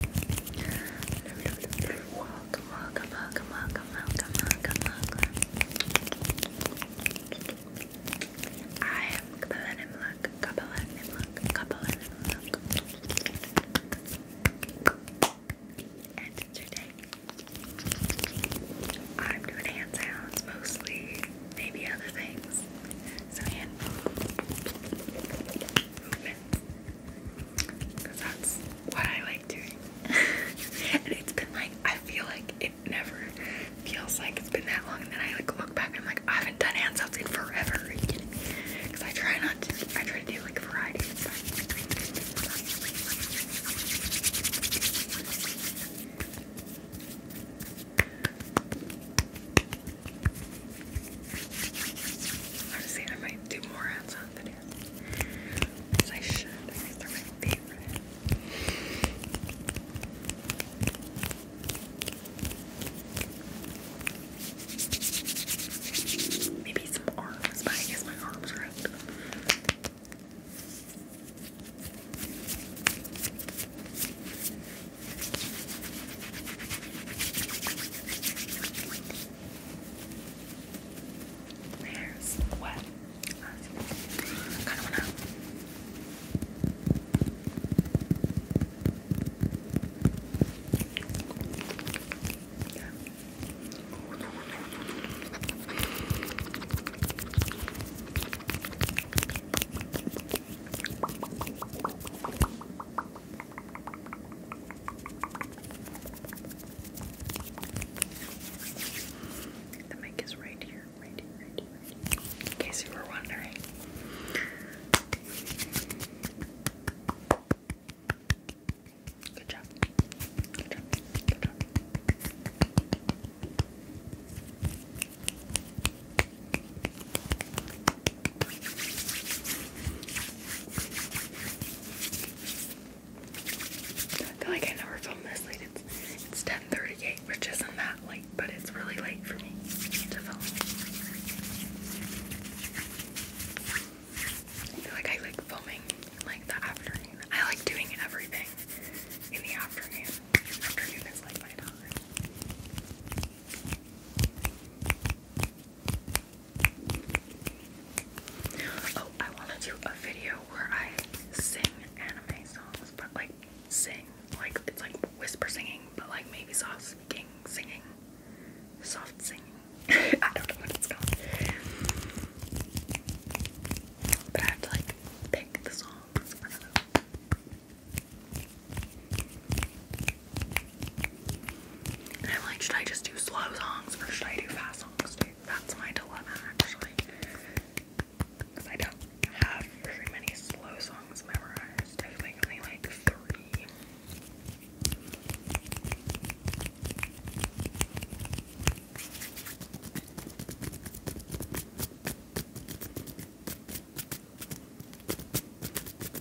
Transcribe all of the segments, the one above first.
Welcome, welcome, welcome, welcome, welcome, welcome, welcome. I am Kabbalah Nimluk, Kabbalah Nimluk, Kabbalah Nimluk. And today, I'm doing hand sounds mostly, maybe other things. So hand it because that's what I like doing. and it's been like, I feel like it never feels like it's been that long. And then I like look back and I'm like, I haven't done hand sounds in forever. Because I try not to, I try to do like variety I was saying I might do more hands on videos. As I should, they're my favorite. Maybe some arms, but I guess my arms are up. There's what? I kind of wanna. Yeah. The mic is right here, right here, In case you were wondering. Good job. Good job. Good job. I feel like I never film this It's it's 10:38, which isn't that late, but it's really late for me to film. I feel like I like filming like the afternoon. I like doing everything in the afternoon. Afternoon is like my time. Oh, I want to do a video where I sing anime songs, but like sing, like it's like whisper singing, but like maybe soft speaking, singing, soft singing. I don't know what it's called, but I have to like pick the songs. I'm like, should I just do slow songs or should I do fast songs? That's my dilemma actually. Because I don't have very many slow songs memorized. I like three.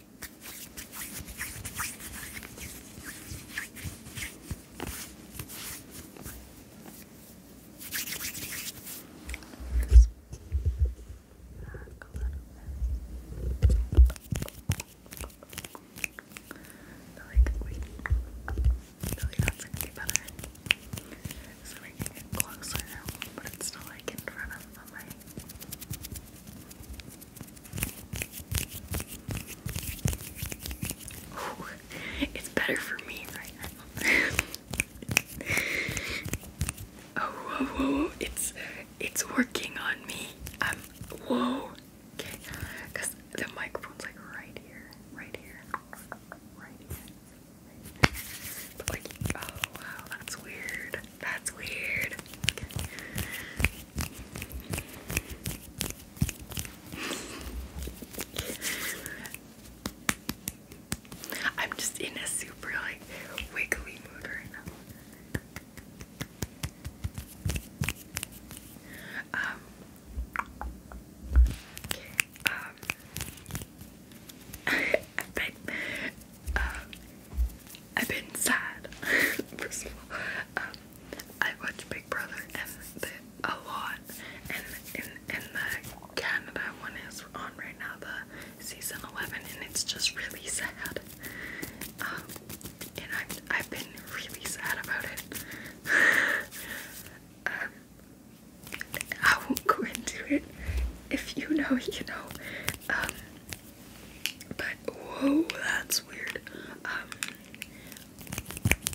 Back a little bit. Like, wait, really that's gonna be better. So we can get closer now, but it's still like in front of the mic it's better for me right now. oh, whoa, whoa, whoa, it's it's working on me. I'm whoa. because the microphone's like right here, right here, right here. But like, oh wow, that's weird. That's weird. I'm just in a super like wiggly mood right now. Um, um, um, I've been sad. First of all, um, I watch Big Brother and the, a lot, and in the Canada one is on right now, the season eleven, and it's just really sad. Um, and I've been really sad about it. Um, I won't go into it. If you know, you know. But whoa, that's weird. Um,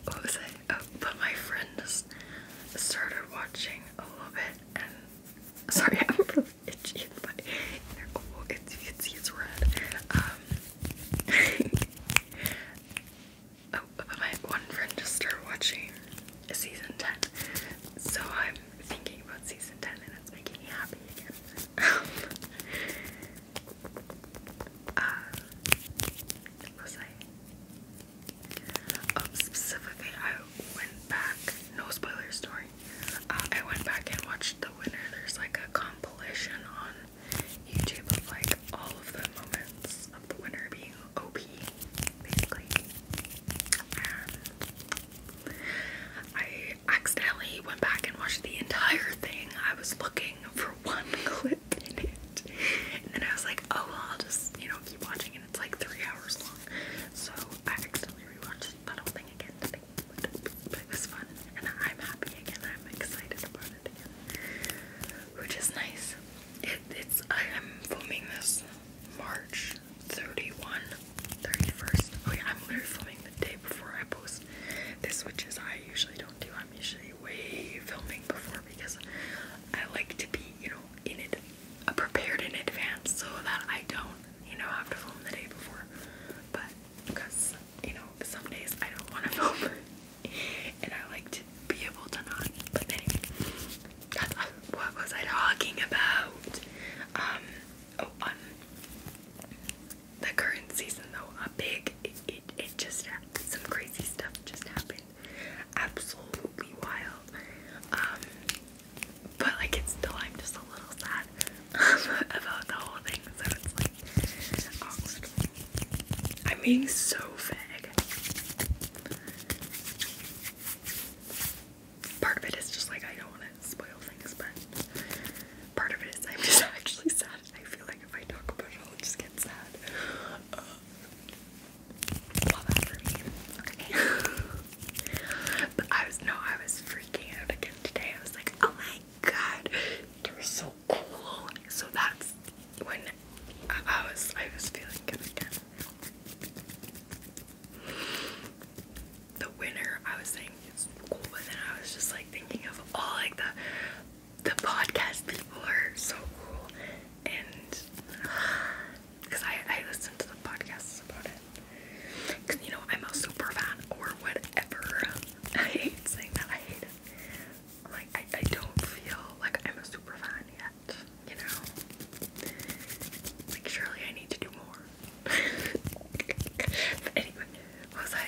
what was I? Oh, but my friend just started watching a little bit, and sorry, I'm really itchy. But oh, it's, you can see it's red. Um, oh, but my one friend just started watching season ten, so I'm thinking about season ten, and it's making me happy again. Um, uh, um, specifically, I went back. No spoilers story. Uh, I went back and watched The Winner. There's like a compilation on YouTube of like all of the moments of The Winner being OP, basically. And I accidentally went back and watched the entire thing. I was looking for one clip in it. And I was like, oh, I'll just, you know, keep watching. And it's like three hours long. So I accidentally rewatched that whole thing again today. But, it was fun. And I'm happy again. I'm excited about it Which is nice. it's, I am filming this March 31, 31st. I'm literally filming the day before I post this, which is I usually don't do. I'm usually way filming before because I like to be, you know, in it, uh, prepared in advance so that I don't, you know, have to film the day before. But because, you know, some days I don't want to film and I like to be able to not. But anyway, uh, what was I talking about? Um, oh, um, the current season though a big it, it, just some crazy stuff just happened absolutely wild um, but like it's still I'm just a little sad um, about the whole thing so it's like I'm being so vague part of it is just like I don't want to spoil things but part of it is I'm just actually sad I feel like if I talk about it, I'll just get sad. Uh, but I was, no, I was freaking out again today. I was like, oh my god, they're so cool. So that's when I was, I was feeling good again. The winner, I was saying, it's cool, but then I was just like thinking of all like the the podcast people are so cool and because I, I listen to the podcasts about it because you know I'm a super fan or whatever I hate saying that I hate like I, I don't feel like I'm a super fan yet you know like surely I need to do more but anyway what was I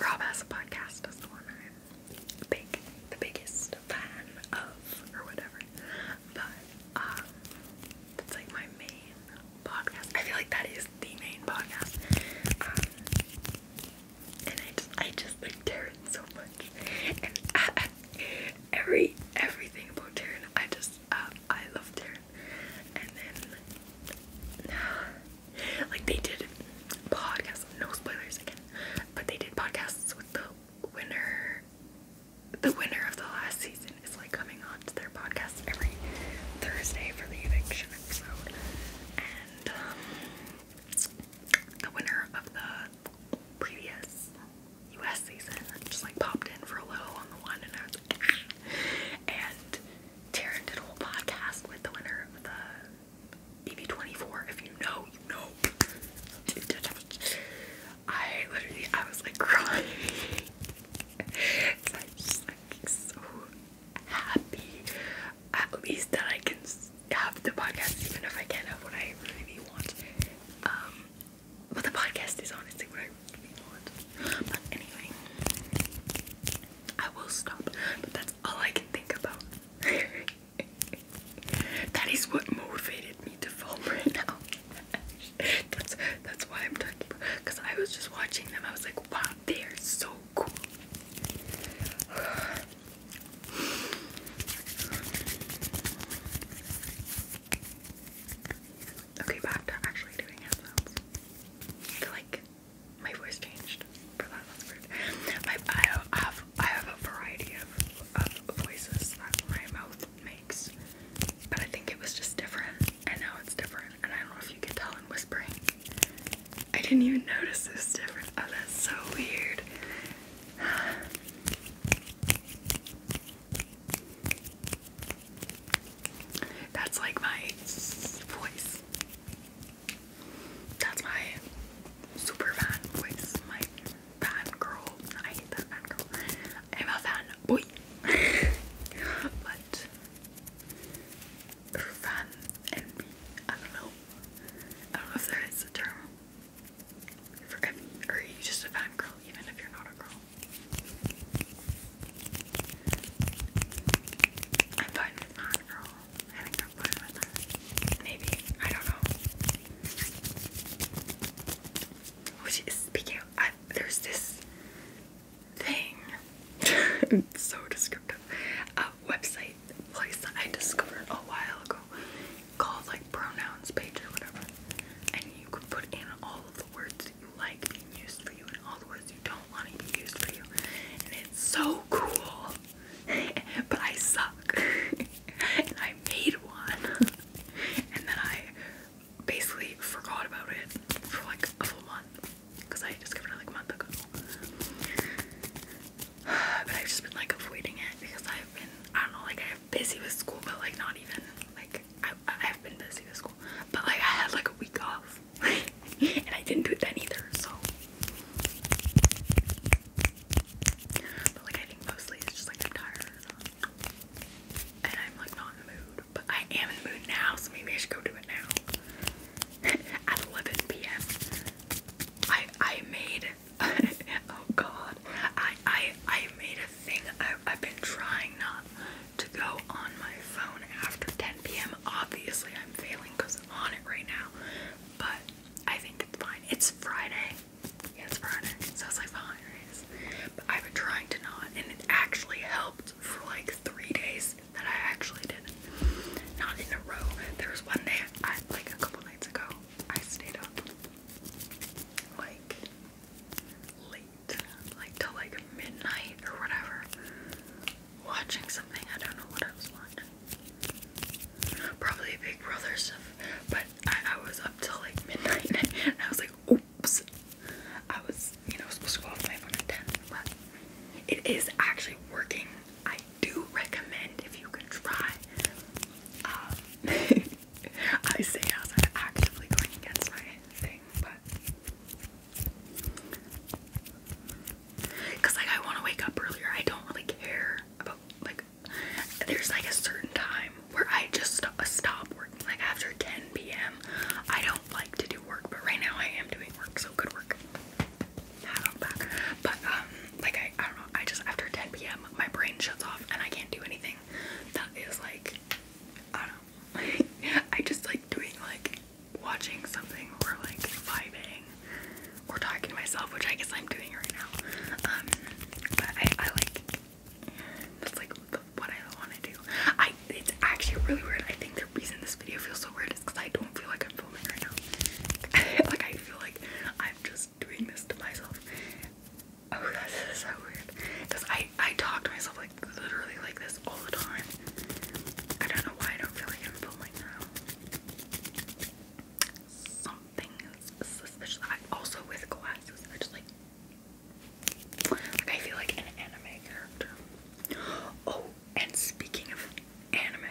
Rob has a podcast is the one I'm the biggest fan of, or whatever. But um, like my main podcast. I feel like that is the main podcast. Um, and I just, I just like Taryn so much, and every everything about Taryn, I just, um, I love Taryn. And then. like they did podcasts, no spoilers again, but they did podcasts with the winner. The winner of the last season is like coming on to their podcast every Thursday for the eviction episode, and um, the winner of the previous U.S. season just like popped in for a little on the one, and I was like, ah. and Taryn did a whole podcast with the winner of the BB24. If you know, you know. I literally, I was like crying. so I'm just like so happy. At least that I can have the podcast, even if I can't have what I really want. Um, but the podcast is honestly what I really want. But anyway, I will stop. But that's. That's all I can think about. that is what motivated me to film right now. that's that's why I'm talking about because I was just watching them. I was like, wow, they are so cool. okay, back to actually doing headphones. I feel like my voice changed for that. That's weird. My, I have I have a variety of, of voices that my mouth makes, but I think it was just different, and now it's different. And I don't know if you can tell I'm whispering. I didn't even notice it was Oh, that's so weird. That's like my voice. That's my super fan voice. My fan girl. I hate that fan girl. I'm a fan boy. but fan envy. I don't know. I don't know if there is a term. For if, or are you just a fan girl even if you're not a girl? I'm fine fan girl. Maybe. I don't know. speaking there's this thing. it's so descriptive. A website place that I discovered a while ago called like pronouns page or whatever. And you can put in all of the words that you like being used for you and all the words you don't want to be used for you. And it's so cool. but I suck. and I made one. and then I basically forgot about it for like a full month because I discovered it like a month ago. but I've just been like avoiding it because I've been, I don't know, like I'm busy with school, but like not even. Like I, I've been busy with school, but like I had like a week off, and I didn't do it then either. So but like I think mostly it's just like I'm tired and I'm like not in the mood. But I am in the mood now, so maybe I should go do it now. At 11 p.m. I I made oh god I I I made a thing. I, have been trying not to go on my phone after 10 p.m. Obviously I'm failing because I'm on it right now. But I think it's fine. It's Friday. Yeah, it's Friday. So it's like the holidays. But I've been trying to not, and it actually helped for like three days that I actually did. Not in a row. There was one day, I, like a couple nights ago, I stayed up like late, like till like midnight or whatever watching something. I don't know what I was watching. Probably Big Brother stuff. But I, was up till like midnight and I was like, oops. I was, you know, supposed to go off my phone at 10. But it is actually working. I do recommend if you can try. Um, I say as I'm actively going against my thing, but Cause like I want to wake up earlier. I don't really care about like there's like a certain time where I just st uh, stop working. Like after 10 p.m. I don't like to do work, but right now I am doing work, so good work. But um, like I, I don't know. I just after 10 p.m. my brain shuts off and I can't do anything. That is like I don't know. I just like doing like watching something or like vibing or talking to myself, which I guess I'm doing right now. Um, but I, I like that's like what I want to do. I it's actually really weird. I think the reason this video feels so weird is because I don't feel like I'm filming right now. like I feel like I'm just doing this to myself. Oh, that's so weird. Cause I I talk to myself like literally like this all the time. I don't know why I don't feel like I'm filming now something suspicious. I, also with glasses, I just like, I feel like an anime character. Oh, and speaking of anime,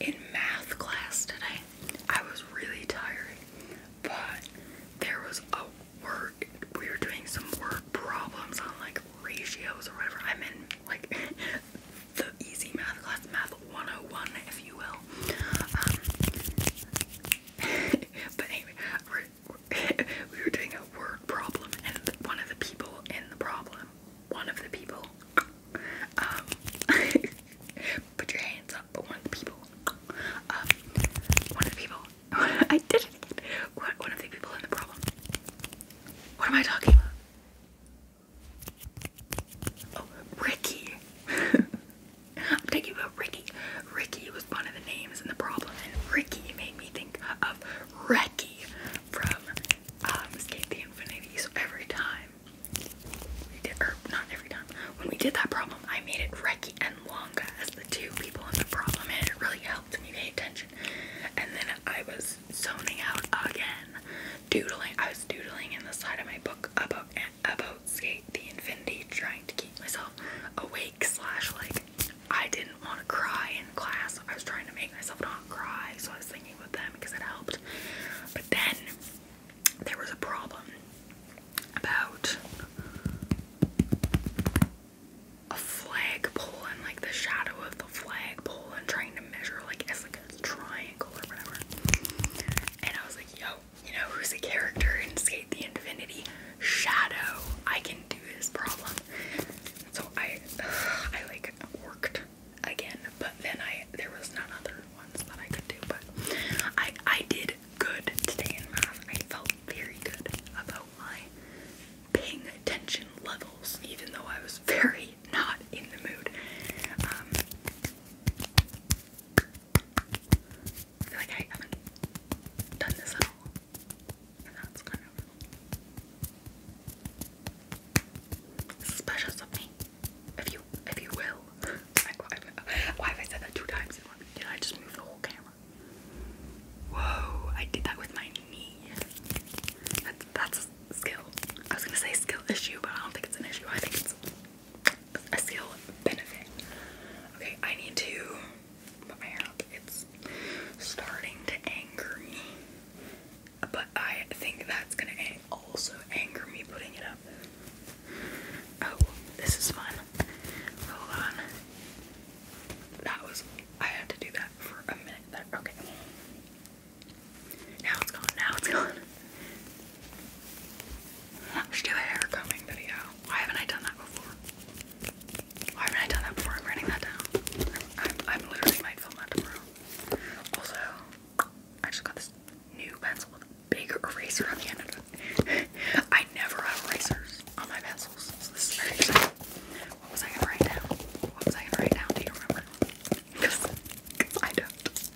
in math class today, I was really tired, but there was a work. we were doing some work problems on like ratios or whatever. I'm in like the easy math class, math 101, if you will. Um, but anyway, we were doing a word problem, and one of the people in the problem, one of the people, um, put your hands up, but one of the people, um, one of the people, I did it one of the people in the problem. What am I talking about? Oh, Ricky. I'm talking about Ricky. Ricky was one of the names in the problem, and Ricky made me think of Ricky from um, Escape the Infinity. So every time we did, or not every time, when we did that problem, I made it Ricky and Longa as the two people in the problem, and it really helped me pay attention. And then I was zoning out again doodling. I was doodling in the side of my book about about skate the infinity, trying to keep myself awake. Slash, like I didn't want to cry in class. I was trying to make myself not cry, so I was thinking with them because it helped. But then there was a problem about a flagpole and like the shadow of the flagpole and trying to measure like as like triangle or whatever. And I was like, yo, you know who's the character in Skate the Infinity? Shadow. I can do this problem. So I, I like worked again, but then I there was none other ones that I could do. But I, I did good today in math. I felt very good about my paying attention levels, even though I was very not in the mood. Um, I feel like I haven't done this at all. that's kind of suspicious of If you if you will. why, have I said that two times Did I just move the whole camera? Whoa, I did that with my knee. That's that's skill. I was gonna say skill issue, but I don't think it's an issue. I think it's a skill benefit. Okay, I need to put my hair up. It's starting to anger me, but I think that's gonna also anger me putting it up. Oh, this is fun. Hold on. That was I had to do that for a minute there. Okay. Now it's gone, now it's gone. I should do a hair combing video. Why haven't I done that before? Why haven't I done that before? I'm writing that down. I'm, literally might film that tomorrow. Also, I just got this new pencil with a big eraser on the end of it. I never have erasers on my pencils, so this is very exciting. What was I gonna write down? What was I gonna write down? Do you remember? Because I don't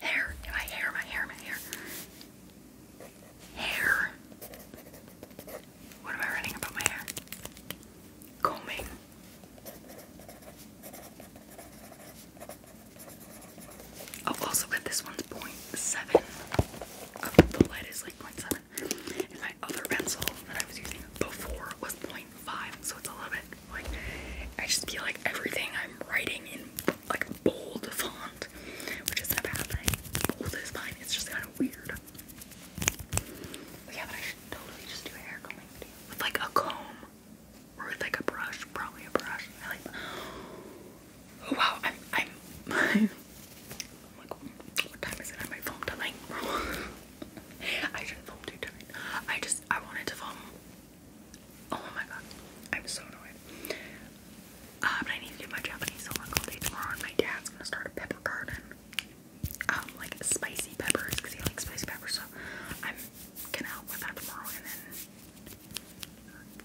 hair, my hair, my hair, my hair. Hair. What am I running about my hair? Combing. Oh, also but this one's 0.7. the light is like 0.7. And my other pencil that I was using before was 0.5, so it's a little bit I just feel like everything I'm writing in like bold font, which is a bad thing. Bold is fine, it's just kind of weird. yeah, but I should totally just do hair combing with like a comb or with like a brush, probably a brush. I like. Oh wow, I'm I'm, what time is it? I might film I should film two tonight. I just I wanted to film Oh my god. I'm so annoyed. Uh, um, but I need to get my Japanese homework tomorrow my dad's gonna start a pepper garden. Um like spicy peppers because he likes spicy peppers so I'm gonna help with that tomorrow and then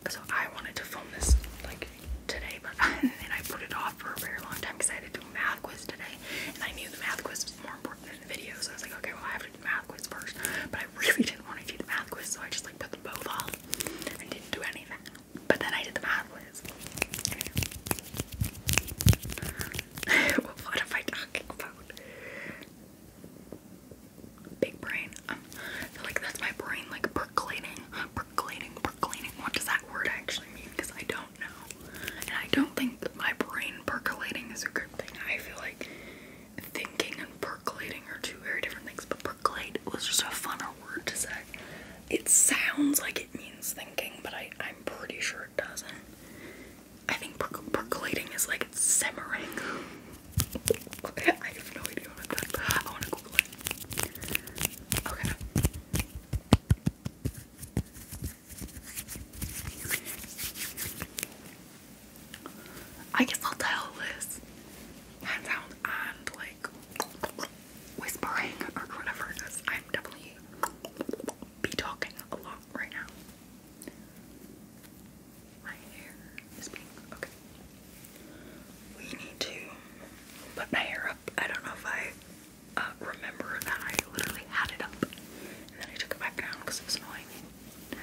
so I wanted to film this like today, but and I put it off for a very long time because I had to do a math quiz today, and I knew the math quiz was more important than the video. So I was like, okay, well I have to do math quiz first, but I really didn't want to do the math quiz, so I just like put them both off and didn't do anything. But then I did the math quiz. what am I talking about? Big brain. I feel like that's my brain like percolating, percolating, percolating. What does that word actually mean? Because I don't know. And I don't think that my brain percolating is a good thing. I feel like thinking and percolating are two very different things, but percolate was just a funner word to say. It sounds like it means thinking, but I, I'm pretty sure it doesn't. I think percolating is like simmering. I have no idea what that. I guess I'll tell this hands out and like whispering or whatever I'm definitely be talking a lot right now. My hair is pink. Okay we need to put my hair up. I don't know if I uh, remember that I literally had it up and then I took it back down because it was annoying me.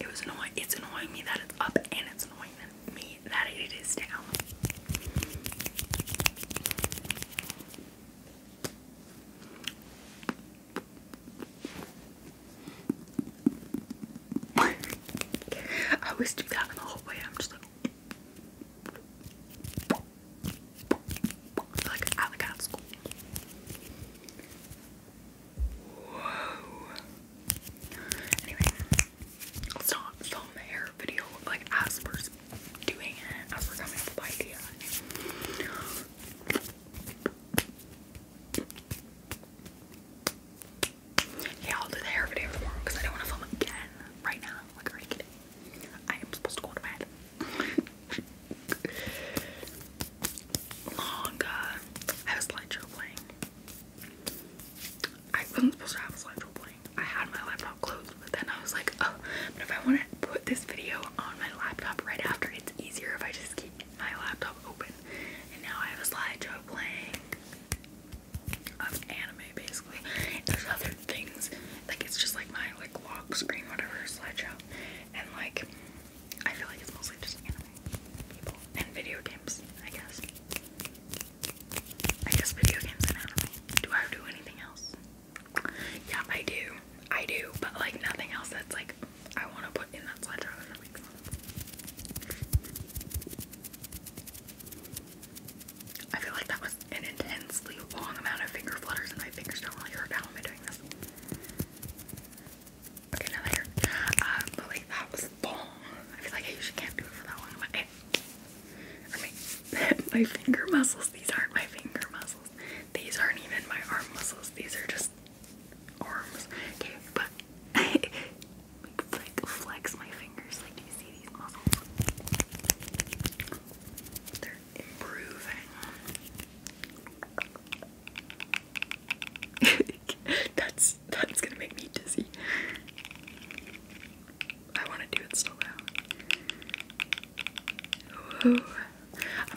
It was annoying. It's annoying me that it's up and it's annoying me that it is down. I always do that in the hallway. I'm just like, I like I school. Whoa. Anyway, it's not film hair video like as doing it, as coming up with idea. Yeah, I'll do the hair video tomorrow because I don't want to film again right now. Like I am supposed to go to bed. Long I have a slideshow playing. I wasn't supposed to have a slideshow playing. I had my laptop closed, but then I was like, oh, but if I want to put this video on my laptop right after, it's easier if I just keep my laptop open. And now I have a slideshow playing of anime basically. there's other things like it's just like my like lock screen, whatever slideshow, and like I feel like it's mostly just anime people and video games, I guess. I guess video games and anime. Do I do anything else? Yeah, I do. I do, but like nothing else that's like I want to put in that slideshow. That makes sense. I feel like that was an intensely long amount of finger flutters, and my fingers don't really hurt. How am I doing this? Okay, now later. Um, uh, but that was long. I feel like I usually can't do it for that long. But I, I my finger muscles. These aren't my finger muscles. These aren't even my arm muscles. These are just arms. Okay, but like flex, my fingers. Like, do you see these muscles? They're improving. that's that's gonna make me dizzy. I want to do it still I'm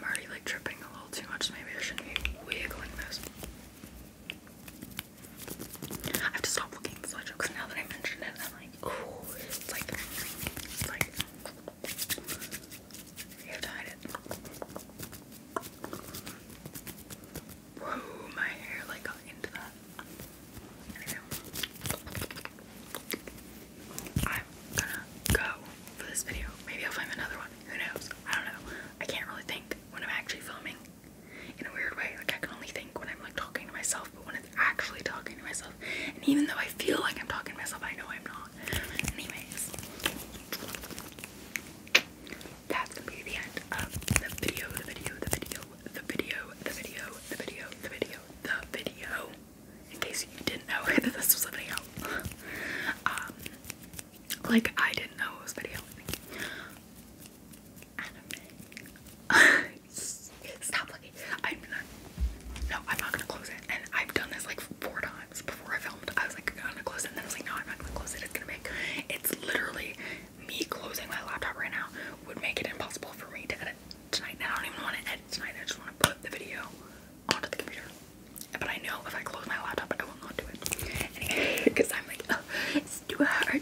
already like tripping a little too much. maybe I shouldn't be wiggling this. I have to stop looking at sweat because now that I mentioned it, I'm like, it's like, it's like, Whoa, my hair like got into that. I'm gonna go for this video. Maybe I'll find another one. Who knows? I don't know. I can't really think when I'm actually filming in a weird way. Like I can only think when I'm like talking to myself, but when it's actually talking to myself, and even though I feel like I'm talking to myself, I know I'm not. Anyways, that's gonna be the end of the video, the video, the video, the video, the video, the video, the video, the video. In case you didn't know that this was a video. um like I didn't know it was video. Stop looking. I'm not. No, I'm not gonna close it. And I've done this like four times before I filmed. I was like, I'm gonna close it. And I was like, no, I'm not gonna close it. It's gonna make. It's literally me closing my laptop right now would make it impossible for me to edit tonight. And I don't even want to edit tonight. I just want to put the video onto the computer. But I know if I close my laptop, I will not do it. because I'm like, it's too hard